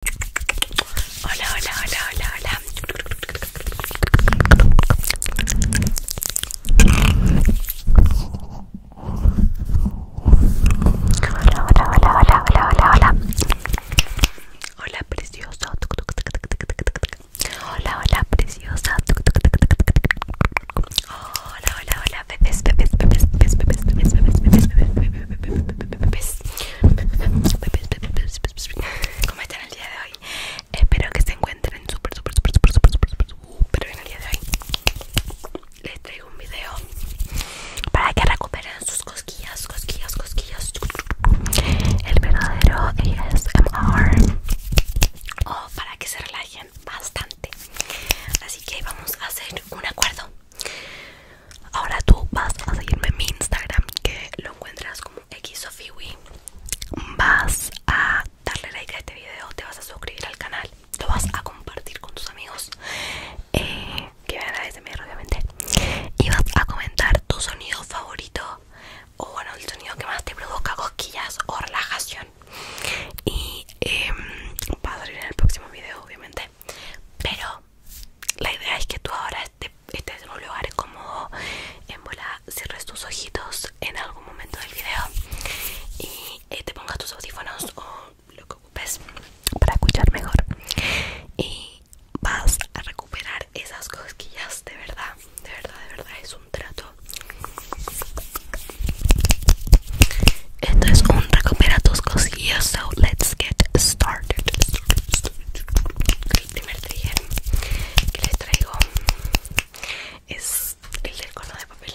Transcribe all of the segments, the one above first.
Hola, hola, hola, hola, hola. Hola, hola, hola, hola, hola, hola, Hola, hola, preciosa. Hola, hola, hola, ¿Cómo están el día de hoy? Espero que se encuentren súper, súper, súper, súper, súper, súper, súper, súper bien uh, el día de hoy. Les traigo un video para que recuperen sus cosquillas, cosquillas, cosquillas. El verdadero ASMR. O para que se relajen bastante. Así que vamos a hacer un acuerdo. Ahora tú vas a seguirme en mi Instagram que lo encuentras como xsofiwi. Vas a darle like a este video, te vas a suscribir al canal, lo vas a compartir con tus amigos eh, que me agradecen obviamente y vas a comentar tu sonido favorito o bueno el sonido que más te provoca cosquillas o relajación y em, vas a en el próximo video obviamente pero la idea es que tú ahora este, estés en un lugar cómodo, en bola, cierres tus ojitos en algún momento del video y eh, te pongas tus audífonos o lo que ocupes para escuchar mejor. Y vas a recuperar esas cosquillas, de verdad, de verdad, de verdad, es un trato. Esto es un recupera tus cosillas. So let's get started. El primer que les traigo es el del color de papel.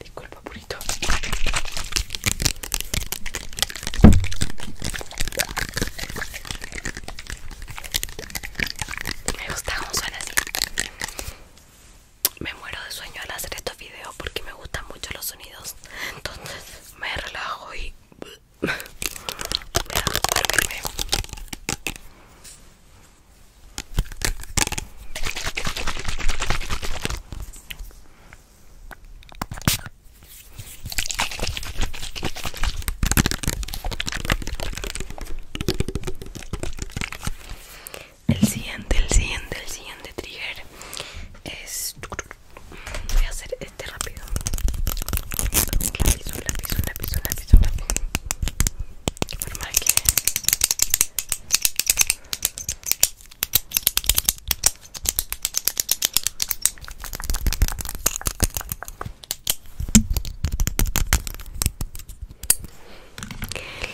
Disculpa, purito. Me gusta cómo suena así. Me muero de sueño al hacer estos videos porque me gustan mucho los sonidos. Entonces me relajo y el siguiente, el siguiente, el siguiente trigger es voy a hacer este rápido La lápiz, la lápiz, la lápiz, un lápiz, un lápiz qué forma que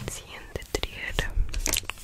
el siguiente trigger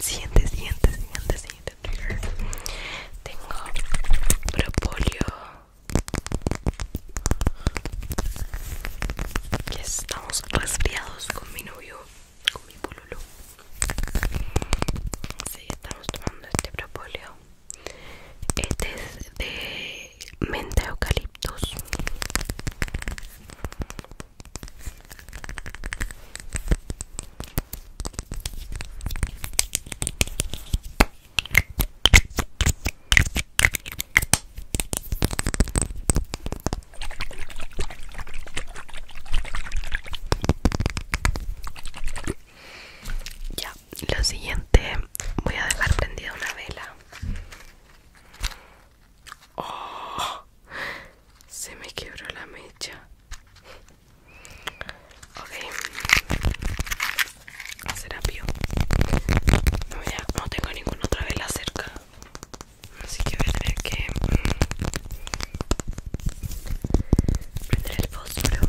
Siente, siente, siente, siente. Tengo Propolio que estamos resfriados con mi novio, con mi pololo. Sí, estamos tomando este propóleo. Este es de menta eucaliptos ya, lo siguiente voy a dejar prendida una vela. Oh, se me quebró la mecha. Ok, a Serapio. No, tengo ninguna otra vela cerca. Así que voy que mm, prender el fósforo.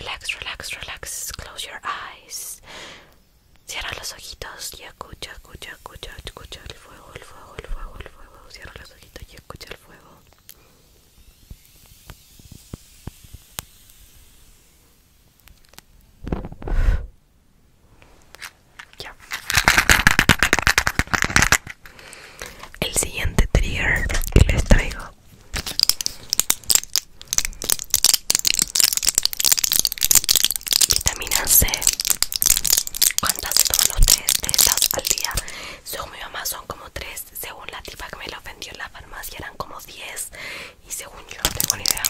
Relax, relax, relax. Close your eyes. Cierra los ojitos y escucha, escucha, escucha, escucha el fuego, el fuego, el fuego, el fuego. Cierra los ojitos y escucha el fuego. El siguiente trigger que les traigo vitamina C. ¿Cuántas toman los tres de estas al día? Según mi mamá son como tres. Según la tipa que me lo vendió en la farmacia eran como 10 y según yo no tengo ni idea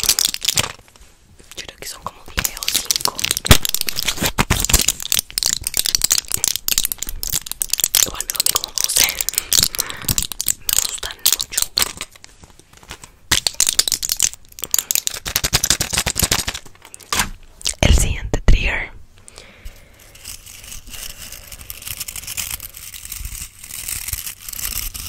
yo creo que son como 10 o 5 igual me comí como 12 me gustan mucho el siguiente trigger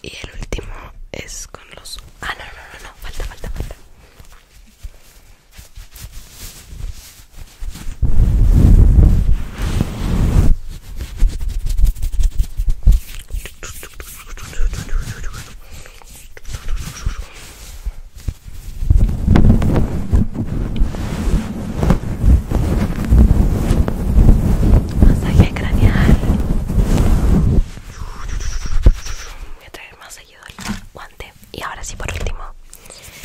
Y el último es con los... Ah, no, no, no, no, falta, falta, falta. Masaje craneal. Voy a traer más seguido guante. Y ahora sí, por último,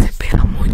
Se pega mucho.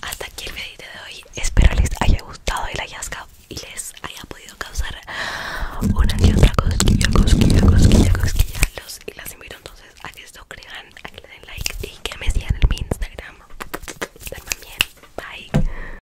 Hasta aquí el video de hoy. Espero les haya gustado el hallazgo y les haya podido causar una y otra cosquilla, cosquilla, cosquilla, cosquillo Los y las invito entonces a que se crean, a que le den like y que me sigan en mi Instagram. bien Bye.